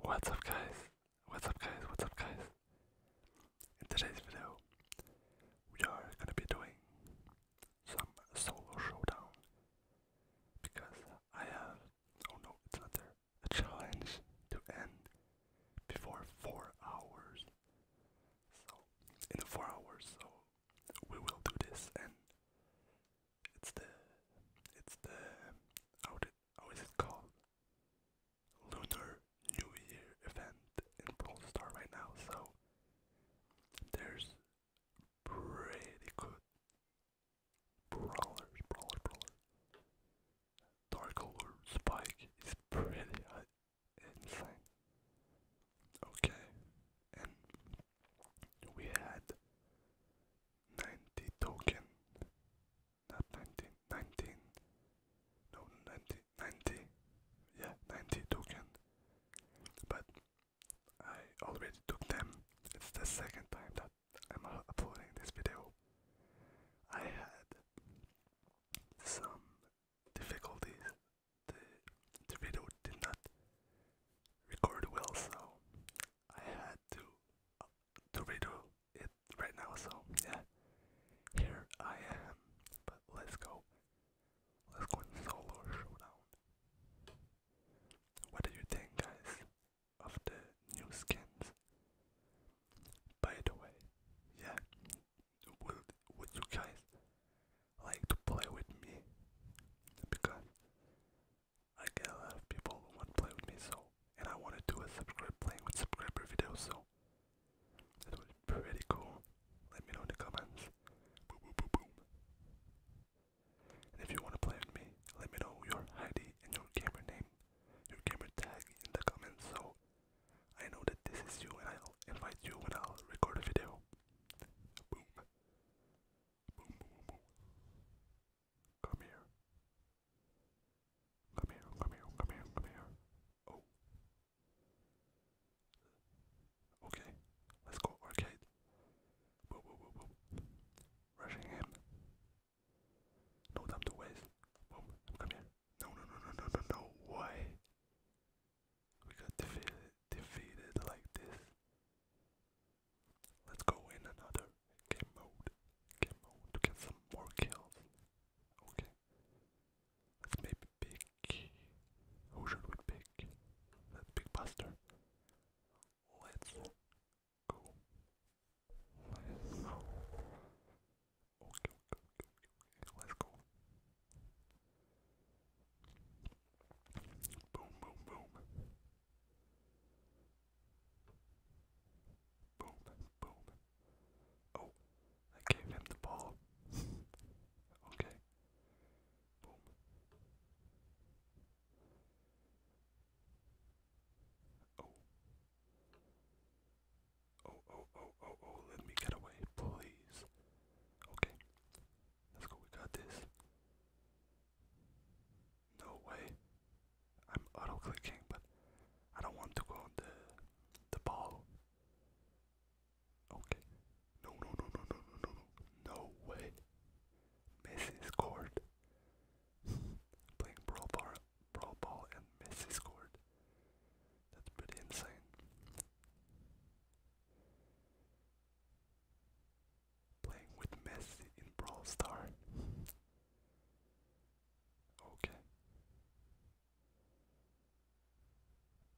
What's up guys? What's up guys? What's up guys? In today's video, we are gonna be doing some solo showdown because I have oh no, it's not there. A challenge to end before four hours. So in the four hours, so we will do this and it's the it's the how did how oh, is it called? Lunar New Year event in Brawl Star right now, so there's pretty good brawlers, brawler, brawler. Dark Lord Spike is pretty uh, insane. Okay, and we had 90 token, not 19, 19, no, 90, 90, yeah, 90 token, but I already took them, it's the second time that I'm uploading this video. I had some difficulties, the video did not record well, so I had to to redo it right now, so yeah, here I am. But let's go. Let's go in solo showdown. What do you think, guys, of the new skins? By the way, yeah, would would you guys like to play with me? Because I get a lot of people who want to play with me, so, and I want to do a subscribe playing with subscriber video, so, that would be pretty cool. Let me know in the comments. Boom, boom, boom, boom. And if you want to play with me, let me know your ID and your gamer name, your gamer tag in the comments, so I know that this is you, and I'll invite you when I'll record a video. boom. Come here. Come here, come here, come here, Oh. Okay, let's go arcade. Whoa, whoa, whoa, whoa. Rushing him. No time to waste. Boom, come here. No, no, no, no, no, no, no. Why? We got defeated, defeated like this. Let's go in another game mode. Game mode to get some more kills. Okay. Let's maybe pick. Who should we pick? Let's pick Let's go. Let's go. Okay, okay, okay, okay. Let's go. Boom, boom, boom. Boom, boom. Oh, I gave him the ball. okay. Boom. Oh. Oh, oh, oh, oh, let me get away, please. Okay. Let's go, we got this. No way. I'm auto clicking, but I don't want to go on the the ball. Okay. No, no, no, no, no, no, no, no. No way. Messi scored. Playing brawl bar, ball, and Messi scored. That's pretty insane playing with Messi in Brawl Star. okay.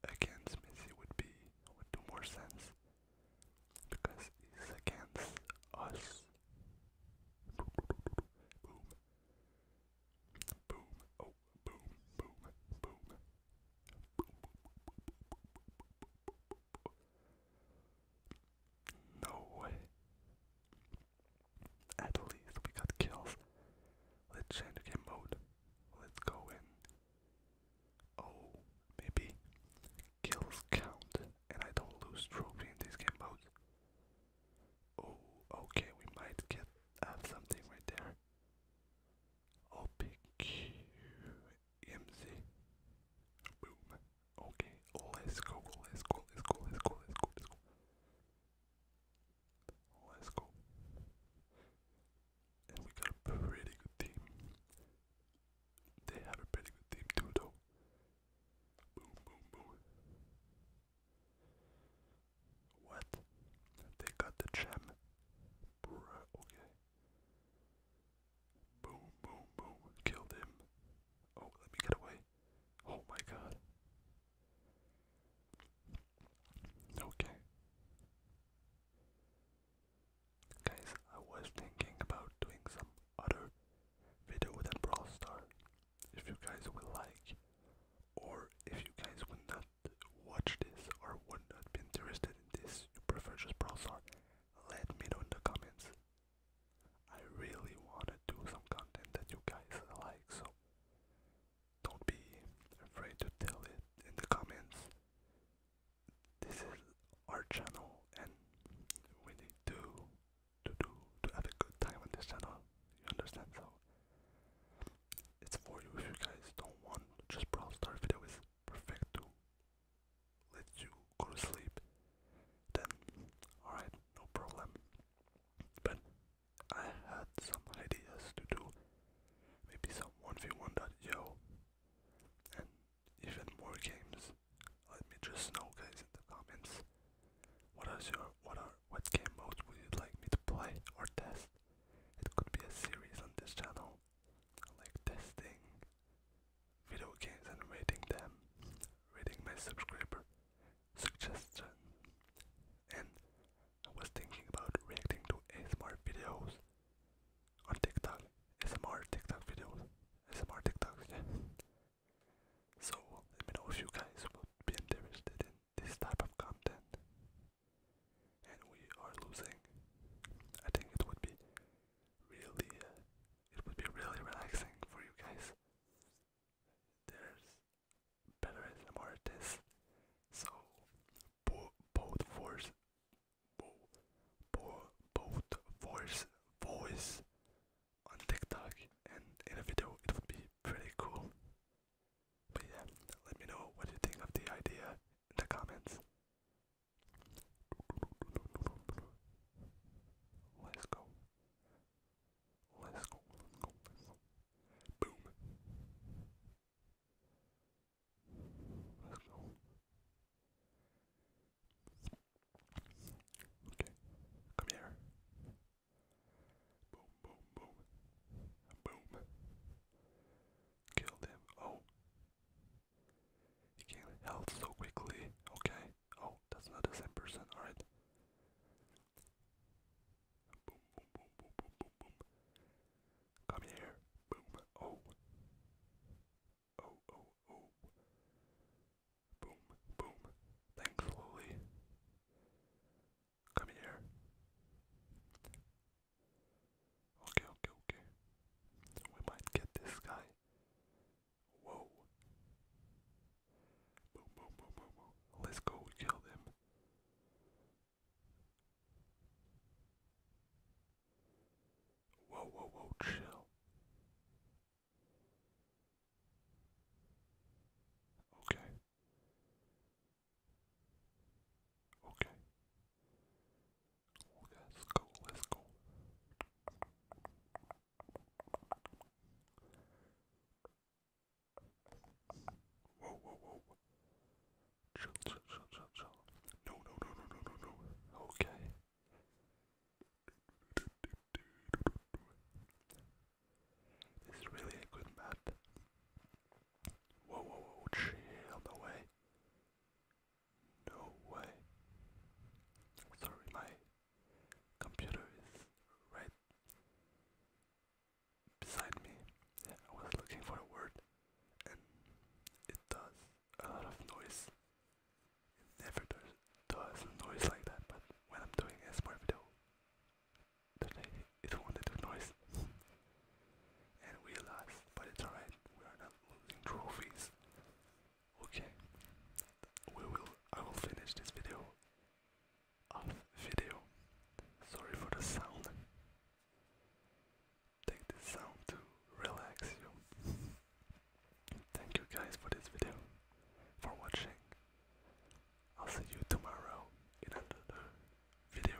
Against Messi would be would more sense because he's against us. Boom. Boom. Oh, boom, boom, boom. No way. At least we got kills. Let's change the game mode. Let's go in. Oh, maybe kills count and I don't lose trophy in this game mode. Oh, okay, we might get have something right there. OPQ EMC. Boom. Okay, let's go, let's go, let's go, let's go, let's go, let's go. Let's go. And we got a pretty good team. They have a pretty good team too though. Boom boom boom. What? They got the gem. okay. Boom, boom, boom. Killed him. Oh, let me get away. Oh my god. Okay. Guys, I was thinking about doing some other video with a Brawl Star. If you guys would like, or if you guys would not watch this or would not be interested in this, you prefer just Brawl Star, let me know in the comments. I really wanna do some content that you guys like, so don't be afraid to tell it in the comments. This is our channel and we need to to do to have a good time on this channel. You understand? So it's for you if you guys don't want just Brawl Star videos, perfect too let you go to sleep, then alright, no problem. But I had some ideas to do maybe some 1v1.io and even more games. Let me just know guys in the comments what are your what are what game modes would you like me to play or test? It could be a series on this channel. Like testing video games and rating them, rating my subscriber suggestion, and I was thinking about reacting to ASMR videos on TikTok, ASMR TikTok videos, ASMR TikToks, So let me know if you guys would be interested in this type of content. And we are losing. I think it would be really uh, it would be really relaxing for you guys. There's better and more it is. So bo both force bo bo both force voice on TikTok and in a video it would be pretty cool. But yeah, let me know what you think of the idea in the comments. Let's go. Let's go. Let's go. Let's go. Boom. Let's go. Okay. Come here. Boom, boom, boom. Boom. Killed him. Oh. You gain health so quickly. Okay. Oh, that's not the same person. Alright. Boom, boom, boom, boom, boom, boom, boom. Come here. Boom. Oh. Oh, oh, oh. Boom, boom. Thanks, Lily. Come here. Okay, okay, okay. We might get this guy. Whoa. Boom, boom, boom, boom, boom. Let's go kill them. Whoa, whoa, whoa, chill. Okay. Okay. Let's go, let's go. Whoa, whoa, whoa. Chill, chill, chill, chill, chill. No, no, no, no, no, no, no. Okay. This is really a good map. Whoa, whoa, whoa, chill, no way. No way. Sorry, my computer is right beside me. I was looking for a word and it does a lot of noise. It never does, does noise like that, but when I'm doing a smart video, today it won't noise. and we lost, but it's alright. We are not losing trophies. Okay, we will. I will finish this video. Off video. Sorry for the sound. Take this sound to relax you. Thank you guys for this video, for watching. I'll see you tomorrow in another video.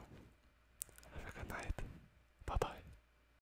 Have a good night. Bye bye.